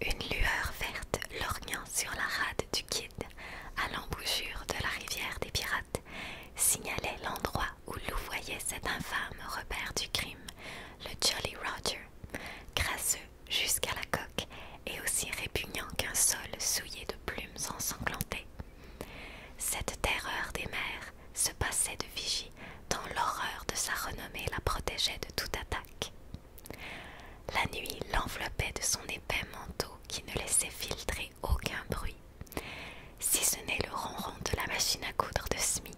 Une lueur verte lorgnant sur la rade du Kid à l'embouchure de la rivière des pirates signalait l'endroit où louvoyait cet infâme repère du crime, le Jolly Roger, crasseux jusqu'à la coque et aussi répugnant qu'un sol souillé de plumes ensanglantées. Cette terreur des mers se passait de vigie tant l'horreur de sa renommée la protégeait de toute attaque. La nuit l'enveloppait de son épais manteau qui ne laissait filtrer aucun bruit, si ce n'est le ronron de la machine à coudre de Smi.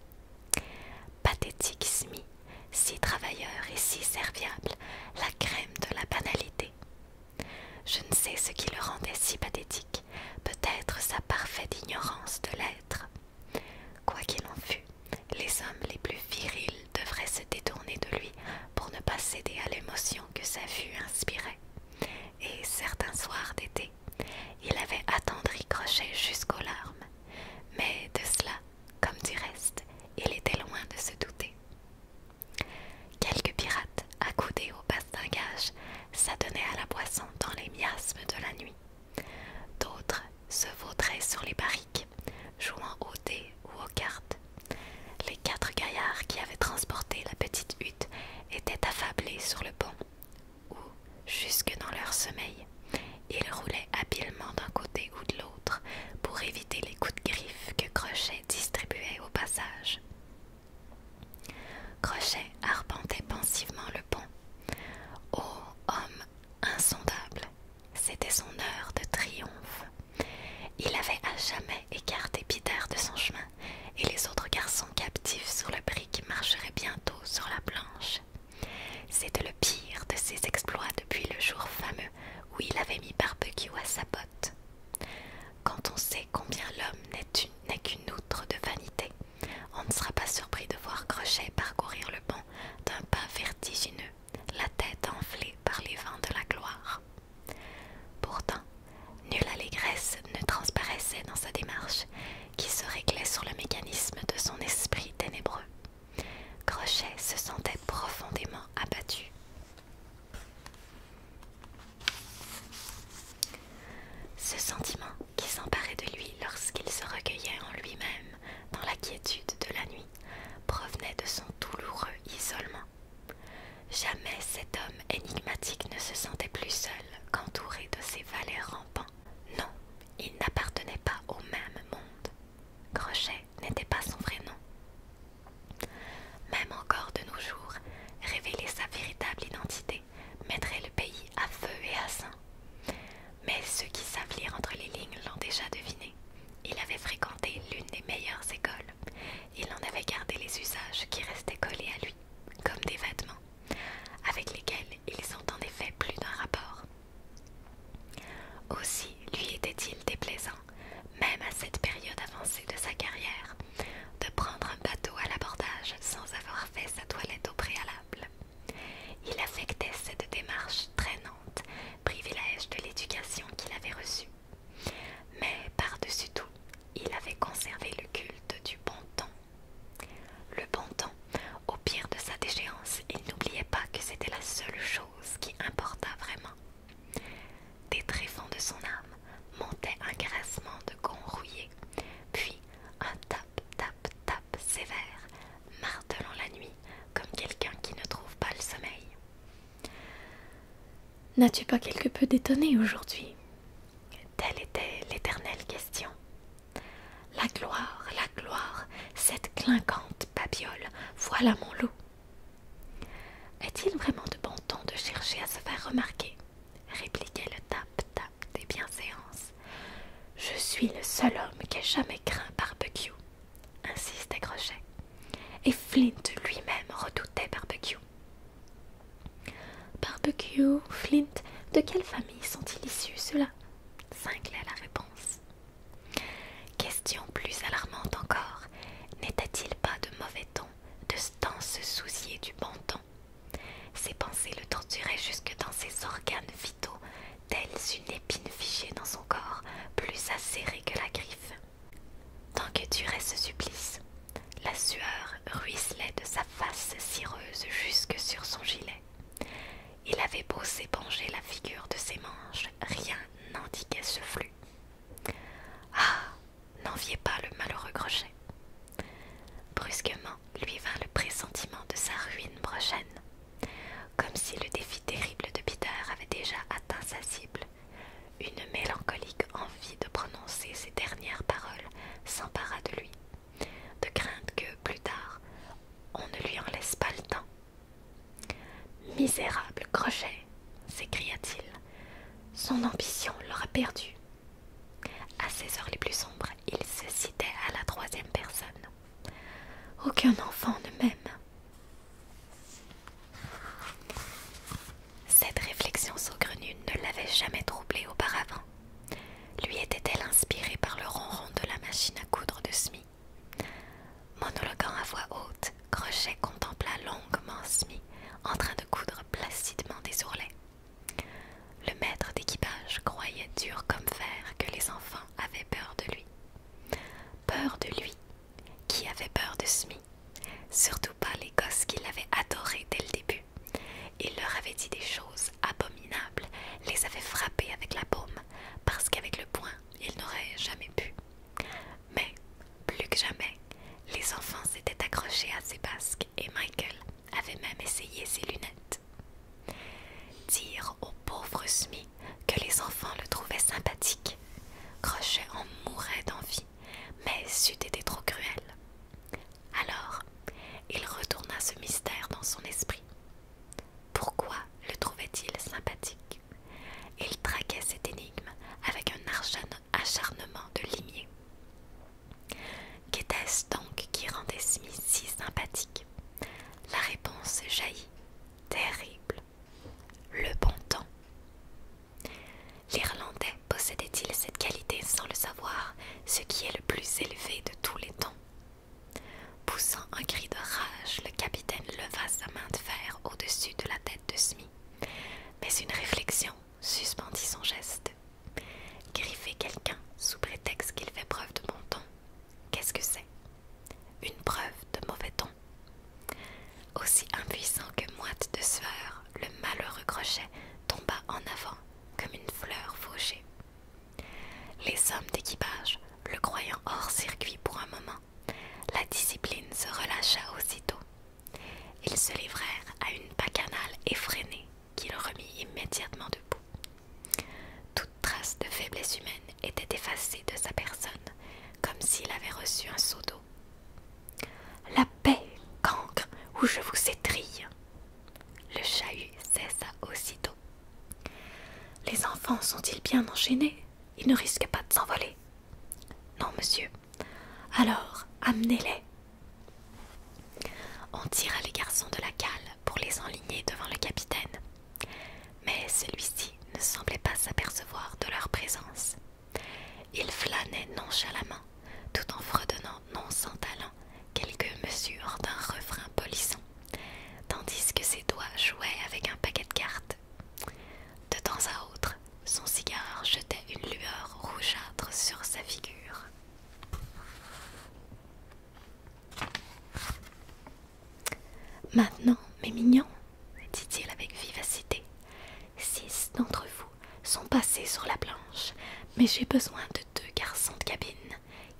Pathétique Smi, si travailleur et si serviable, la crème de la banalité. Je ne sais ce qui le rendait si pathétique, peut-être sa parfaite ignorance de l'être, Quoi qu'il en fût, les hommes les plus virils devraient se détourner de lui pour ne pas céder à l'émotion que sa vue inspirait. Et certains soirs d'été, il avait attendri Crochet jusqu'aux larmes. Mais de cela, comme du reste, il était loin de se douter. Quelques pirates, accoudés au bastingage, s'adonnaient à la boisson dans les miasmes de la nuit. D'autres se vautraient sur les barriques, jouant au dés ou aux cartes. Les quatre gaillards qui avaient transporté la petite hutte étaient affablés sur le pont, où, jusque dans leur sommeil, ils roulaient habilement d'un côté ou de l'autre pour éviter les coups de griffe que Crochet distribuait au passage. Crochet arpentait pensivement le pont Oh homme insondable, c'était son heure de triomphe. Il avait à jamais écarté Peter de son chemin, et les autres garçons captifs sur le brick marcheraient bientôt sur la planche. C'était le pire de ses exploits depuis le jour fameux où il avait mis barbecue à sa botte. Quand on sait combien l'homme n'est qu'une outre de vanité, on ne sera pas surpris de voir Crochet parcourir le banc d'un pas vertigineux, la tête enflée par les vents de la gloire. Pourtant, nulle allégresse ne transparaissait dans sa démarche, qui se réglait sur le mécanisme de son esprit ténébreux. Crochet se sentait profondément abattu. Ce sentiment qui s'emparait de lui lorsqu'il se recueillait en lui-même dans la quiétude de la nuit provenait de son douloureux isolement. Jamais cet homme énigmatique ne se sentait plus seul qu'entouré de ses valets rampants. Non, il n'appartenait pas au même monde. Crochet n'était pas son vrai nom. Même encore de nos jours, révéler sa véritable identité mettrait le pays à feu et à sang. Mais ceux qui savent lire entre les lignes l'ont déjà deviné. Il avait fréquenté l'une des meilleures écoles. Il en avait gardé les usages qui restaient collés à lui, comme des vêtements, avec lesquels ils ont en effet plus d'un rapport. Aussi lui était-il déplaisant, même à cette période avancée de sa carrière, de prendre un bateau à l'abordage sans avoir fait sa toilette au préalable. Il affectait cette démarche traînante, privilège de l'éducation qu'il avait reçue. Mais par-dessus tout, il avait conservé le culte du bon temps. Le bon temps, au pire de sa déchéance, il n'oubliait pas que c'était la seule chose qui importât vraiment. Des tréfonds de son âme montaient un grassement de gonds rouillés, puis un tas « Tap, tap, tap, sévère, martelant la nuit comme quelqu'un qui ne trouve pas le sommeil. N'as-tu pas quelque peu détonné aujourd'hui Telle était l'éternelle question. La gloire, la gloire, cette clinquante babiole, voilà mon loup Est-il vraiment de bon temps de chercher à se faire remarquer répliquait le tap des bienséances. Je suis le seul homme qui ait jamais craint Barbecue, insistait Crochet. Et Flint lui-même redoutait Barbecue. Barbecue, Flint, de quelle famille sont-ils issus ceux-là cinglait la réponse. Question plus alarmante encore, n'était-il pas de mauvais ton de stances se soucier du bon temps, ses pensées le torturaient jusque dans ses organes vitaux, Tels une épine figée dans son corps, plus acérée que la griffe. Tant que durait ce supplice, la sueur ruisselait de sa face cireuse jusque sur son gilet. Il avait beau s'éponger la figure de ses manches, rien n'indiquait ce flux. Ah N'enviez pas le malheureux crochet. Brusquement, lui vint le pressentiment de sa ruine prochaine. Comme si le défi terrible de Peter avait déjà atteint sa cible, une mélancolique envie de prononcer ses dernières paroles s'empara de lui, de crainte que, plus tard, on ne lui en laisse pas le temps. Misérable Crochet s'écria-t-il, son ambition l'aura perdue À ses heures les plus sombres, il se citait à la troisième personne. Aucun enfant ne m'aime. Cette réflexion saugrenue ne l'avait jamais troublé auparavant. Lui était-elle inspirée par le ronron de la machine à coudre de Smi Monologuant à voix haute, Crochet contempla longuement Smi en train de coudre placidement des ourlets. Le maître d'équipage croyait dur comme fer que les enfants avaient peur de lui. Peur de lui, qui avait peur de smith surtout pas les gosses qui l'avaient adoré dès le début. Il leur avait dit des choses abominables, les avait frappés avec la paume, parce qu'avec le poing, ils n'auraient jamais pu. Mais, plus que jamais, les enfants s'étaient accrochés à ses basques et Michael avait même essayé ses lunettes. Dire au pauvre Smith que les enfants le trouvaient sympathique. Crochet en mourait d'envie, mais c'eût été trop cruel. Alors, il retourna ce mystère dans son esprit. Pourquoi le trouvait-il sympathique Il traquait cette énigme avec un acharnement de limier. Qu'était-ce donc qui rendait Smith si sympathique la réponse jaillit, terrible. Le bon temps. L'Irlandais possédait-il cette qualité sans le savoir, ce qui est le plus élevé de tous les temps Poussant un cri de rage, le capitaine leva sa main de fer au-dessus de la tête de Smith. Mais une réflexion suspendit son geste. Griffer quelqu'un sous prétexte qu'il fait preuve de bon temps, Qu'est-ce que c'est Une preuve de mauvais ton. Aussi impuissant que moite de sueur, le malheureux crochet tomba en avant comme une fleur fauchée. Les hommes d'équipage, le croyant hors circuit pour un moment, la discipline se relâcha aussitôt. Ils se livrèrent à une bacchanale effrénée qui le remit immédiatement debout toute trace de faiblesse humaine était effacée de sa personne, comme s'il avait reçu un seau d'eau. La paix, cancre, ou je vous étrille. Le chahut cessa aussitôt. Les enfants sont-ils bien enchaînés Ils ne risquent pas de s'envoler. Non, monsieur. Alors, amenez-les. On tira les garçons de la cale pour les enligner devant le capitaine, mais celui-ci ne semblait pas s'apercevoir de leur présence. Il flânait nonchalamment, tout en fredonnant non sans talent quelques mesures d'un refrain polisson, tandis que ses doigts jouaient avec un paquet de cartes. De temps à autre, son cigare jetait une lueur rougeâtre sur sa figure. Maintenant, mes mignons, dit-il avec vivacité, six d'entre vous sont passés sur la planche, mais j'ai besoin de deux garçons de cabine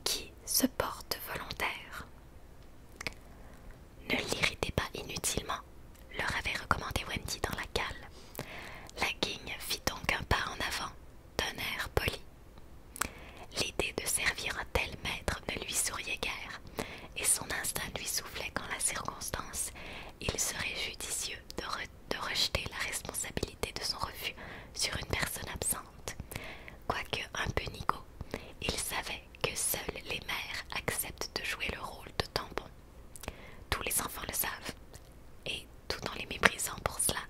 qui se portent volontaires. Ne l'irritez pas inutilement, leur avait recommandé Wendy dans la cale. La guigne fit donc un pas en avant d'un air poli. L'idée de servir un tel maître ne lui souriait guère, et son instinct lui soufflait qu'en la circonstance, il serait judicieux de, rejeter la responsabilité de son refus sur une personne absente. Quoique un peu nigaud, il savait que seuls les mères acceptent de jouer le rôle de tampon. Tous les enfants le savent, et tout en les méprisant pour cela,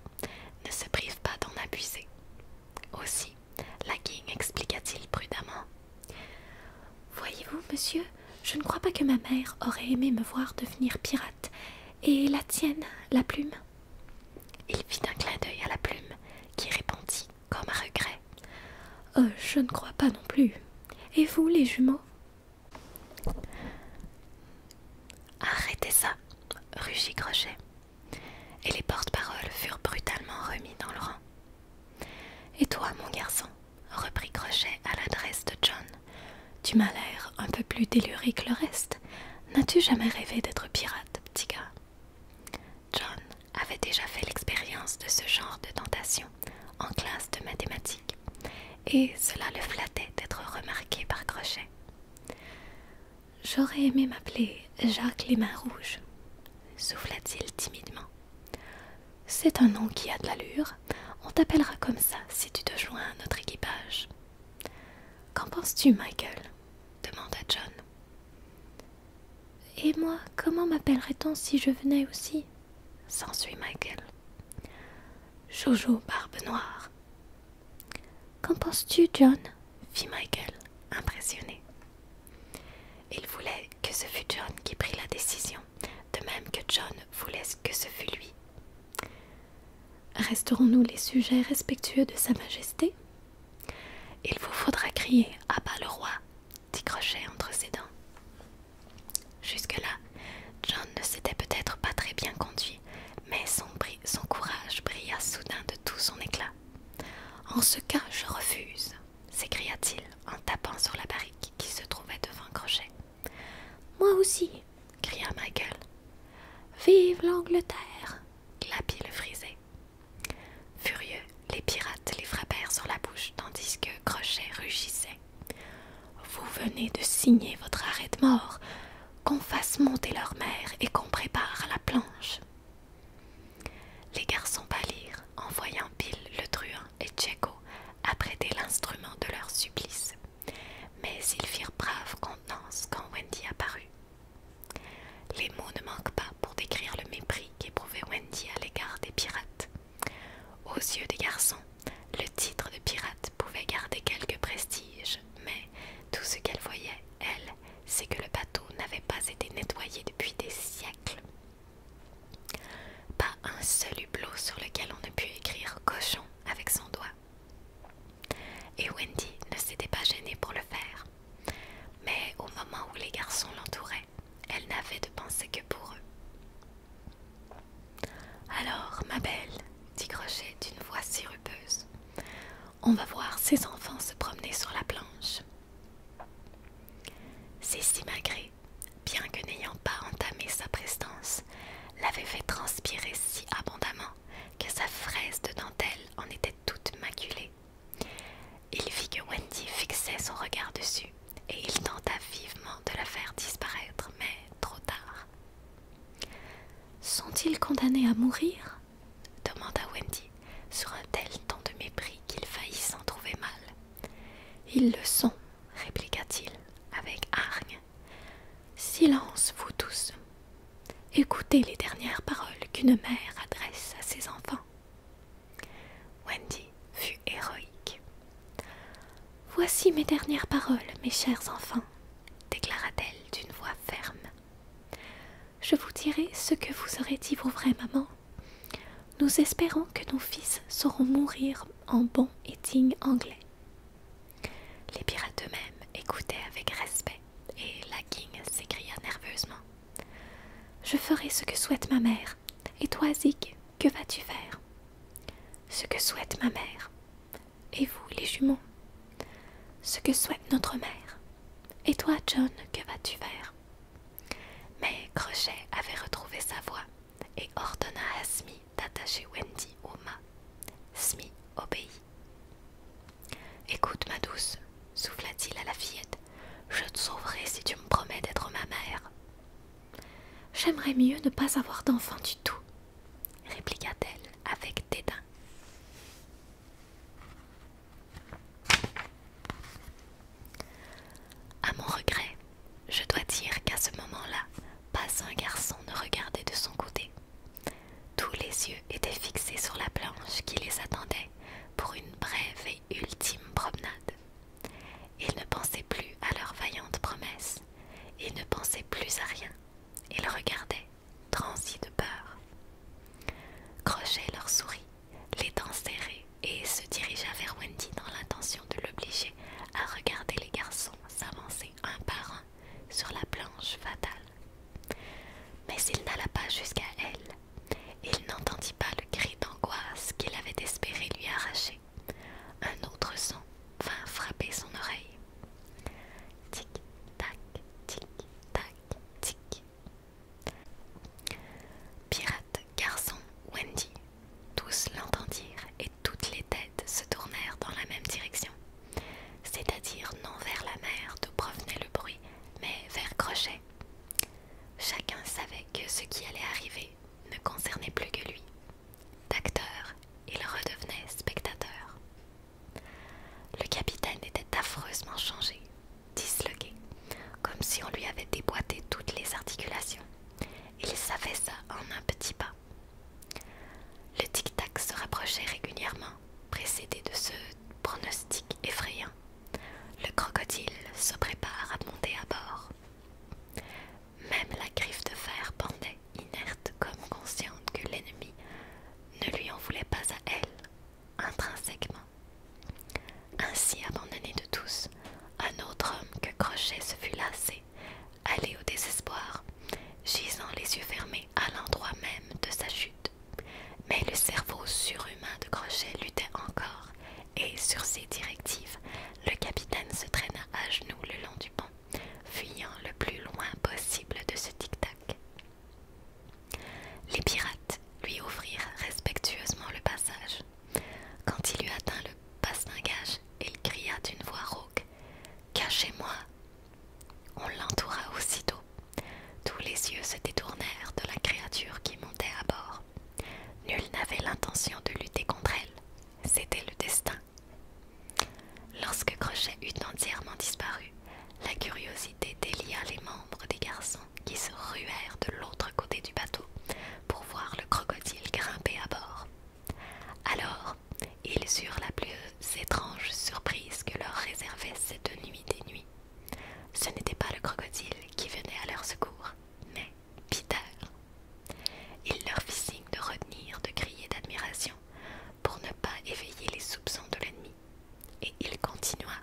ne se privent pas d'en abuser. Aussi, la king expliqua-t-il prudemment. Voyez-vous, monsieur, je ne crois pas que ma mère aurait aimé me voir devenir pirate, et la tienne, la plume. Il fit un clin d'œil à la plume, qui répondit comme à regret. Oh, je ne crois pas non plus. Et vous, les jumeaux Arrêtez ça, rugit Crochet et les porte-paroles furent brutalement remis dans le rang. Et toi, mon garçon, reprit Crochet à l'adresse de John, tu m'as l'air un peu plus déluré que le reste. N'as-tu jamais rêvé d'être pirate, petit gars John avait déjà fait l'expérience de ce genre de tentation en classe de mathématiques, et cela le flattait d'être remarqué par Crochet. J'aurais aimé m'appeler Jacques les mains rouges, souffla-t-il timidement. C'est un nom qui a de l'allure. On t'appellera comme ça si tu te joins à notre équipage. Qu'en penses-tu, Michael demanda John. Et moi, comment m'appellerait-on si je venais aussi s'ensuit Michael. Jojo Barbe Noire, Qu'en penses-tu, John fit Michael, impressionné. Il voulait que ce fût John qui prit la décision, de même que John voulait que ce fût lui. Resterons-nous les sujets respectueux de Sa Majesté Il vous faudra crier à bas le roi, dit Crochet entre ses dents. Jusque-là, John ne s'était peut-être pas très bien conduit, mais son, son courage brilla soudain de tout son éclat. En ce cas, je refuse, s'écria-t-il en tapant sur la barrique qui se trouvait devant Crochet. Moi aussi, cria Michael. Vive l'Angleterre, glapit le frisé. Furieux, les pirates les frappèrent sur la bouche tandis que Crochet rugissait. Vous venez de signer votre arrêt de mort, qu'on fasse monter leur mer et qu'on prépare la planche, les garçons pâlirent en voyant Bill le truand et Cheko apprêter l'instrument de leur supplice, mais ils firent brave contenance quand Wendy apparut. Les mots ne manquent pas pour décrire le mépris qu'éprouvait Wendy à l'égard des pirates. Aux yeux des garçons, le titre de pirate pouvait garder quelque prestige, mais tout ce qu'elle voyait, elle, c'est que le bateau n'avait pas été nettoyé depuis des siècles. Pas un seul hublot sur lequel on ne put écrire cochon avec son doigt. Et Wendy ne s'était pas gênée pour le faire. Mais au moment où les garçons l'entouraient, elle n'avait de pensée que pour eux. Alors, ma belle, dit Crochet d'une voix si rupeuse, on va voir ses enfants se promener sur la planche. si Magré, bien que n'ayant pas entamé sa prestance, l'avait fait transpirer si abondamment que sa fraise de dentelle en était toute maculée. Il vit que Wendy fixait son regard dessus et il tenta vivement de la faire disparaître, mais trop tard. Sont-ils condamnés à mourir demanda Wendy, sur un tel ton de mépris qu'il faillit s'en trouver mal. Ils le sont, répliqua-t-il avec hargne. Silence, vous tous. Écoutez les dernières paroles qu'une mère adresse à ses enfants. Wendy fut héroïque. Voici mes dernières paroles, mes chers enfants, déclara-t-elle d'une voix ferme. Je vous dirai ce que vous aurez dit vos vraies mamans. Nous espérons que nos fils sauront mourir en bon et digne anglais. Les pirates eux-mêmes écoutaient avec respect et la king s'écria nerveusement. Je ferai ce que souhaite ma mère. Et toi, Zig, que vas-tu faire Ce que souhaite ma mère. Et vous, les jumeaux Ce que souhaite notre mère. Et toi, John, que vas-tu faire Mais Crochet avait retrouvé sa voix et ordonna à Smee d'attacher Wendy au mât. Smee obéit. Écoute, ma douce, souffla-t-il à la fillette, je te sauverai si tu me promets d'être ma mère. J'aimerais mieux ne pas avoir d'enfant du tout, répliqua-t-elle avec dédain. À mon regret, je dois dire qu'à ce moment-là, pas un garçon ne regardait de son côté. Tous les yeux étaient fixés sur la planche qui les attendait pour une brève et ultime promenade. Ils ne pensaient plus à leur vaillante promesse, ils ne pensaient plus à rien, ils regardaient transis de peur. Crochet leur souris les dents serrées, et se dirigea vers Wendy dans l'intention de l'obliger à regarder les garçons s'avancer un par un sur la planche fatale. Mais il n'alla pas jusqu'à elle. Il n'entendit pas le cri d'angoisse qu'il avait espéré lui arracher. Un autre son vint frapper son oreille. Tic, tac, tic, tac, tic, Pirate, garçon, Wendy, tous l'entendirent et toutes les têtes se tournèrent dans la même direction, c'est-à-dire non vers la mer d'où provenait le bruit, mais vers Crochet. Chacun savait que ce qui allait arriver ne concernait plus que lui. D'acteur, il redevenait spectateur. Le capitaine était affreusement changé, disloqué, comme si on lui avait déboîté toutes les articulations. Il savait en un petit pas. Le tic-tac se rapprochait régulièrement, précédé de ce pronostic effrayant. Le crocodile se prépare à monter à bord. Même la griffe de fer pendait, inerte comme consciente que l'ennemi ne lui en voulait pas à elle, intrinsèquement. Ainsi abandonné de tous, un autre homme que Crochet se fut lassé, allé au désespoir, gisant les yeux fermés à l'endroit même de sa chute. Mais le cerveau surhumain de Crochet luttait encore, et sur ses directives, le capitaine se traîna à genoux le long du pont, fuyant le plus loin possible de ce tic-tac. Les pirates lui offrirent respectueusement le passage. Quand il eut atteint le bastingage, il cria d'une voix rauque Cachez-moi On l'entoura aussitôt. Tous les yeux se détournèrent de la créature qui montait à bord. Nul n'avait l'intention de lutter contre elle. C'était le destin. Lorsque Crochet eut entièrement disparu, la curiosité délia les membres des garçons qui se ruèrent de l'autre côté du bateau pour voir le crocodile grimper à bord. Alors, ils eurent la plus étrange surprise que leur réservait cette nuit des nuits. Ce n'était pas le crocodile qui venait à leur secours, mais Peter. Il leur fit signe de retenir de crier d'admiration pour ne pas éveiller les soupçons de l'ennemi, et il continua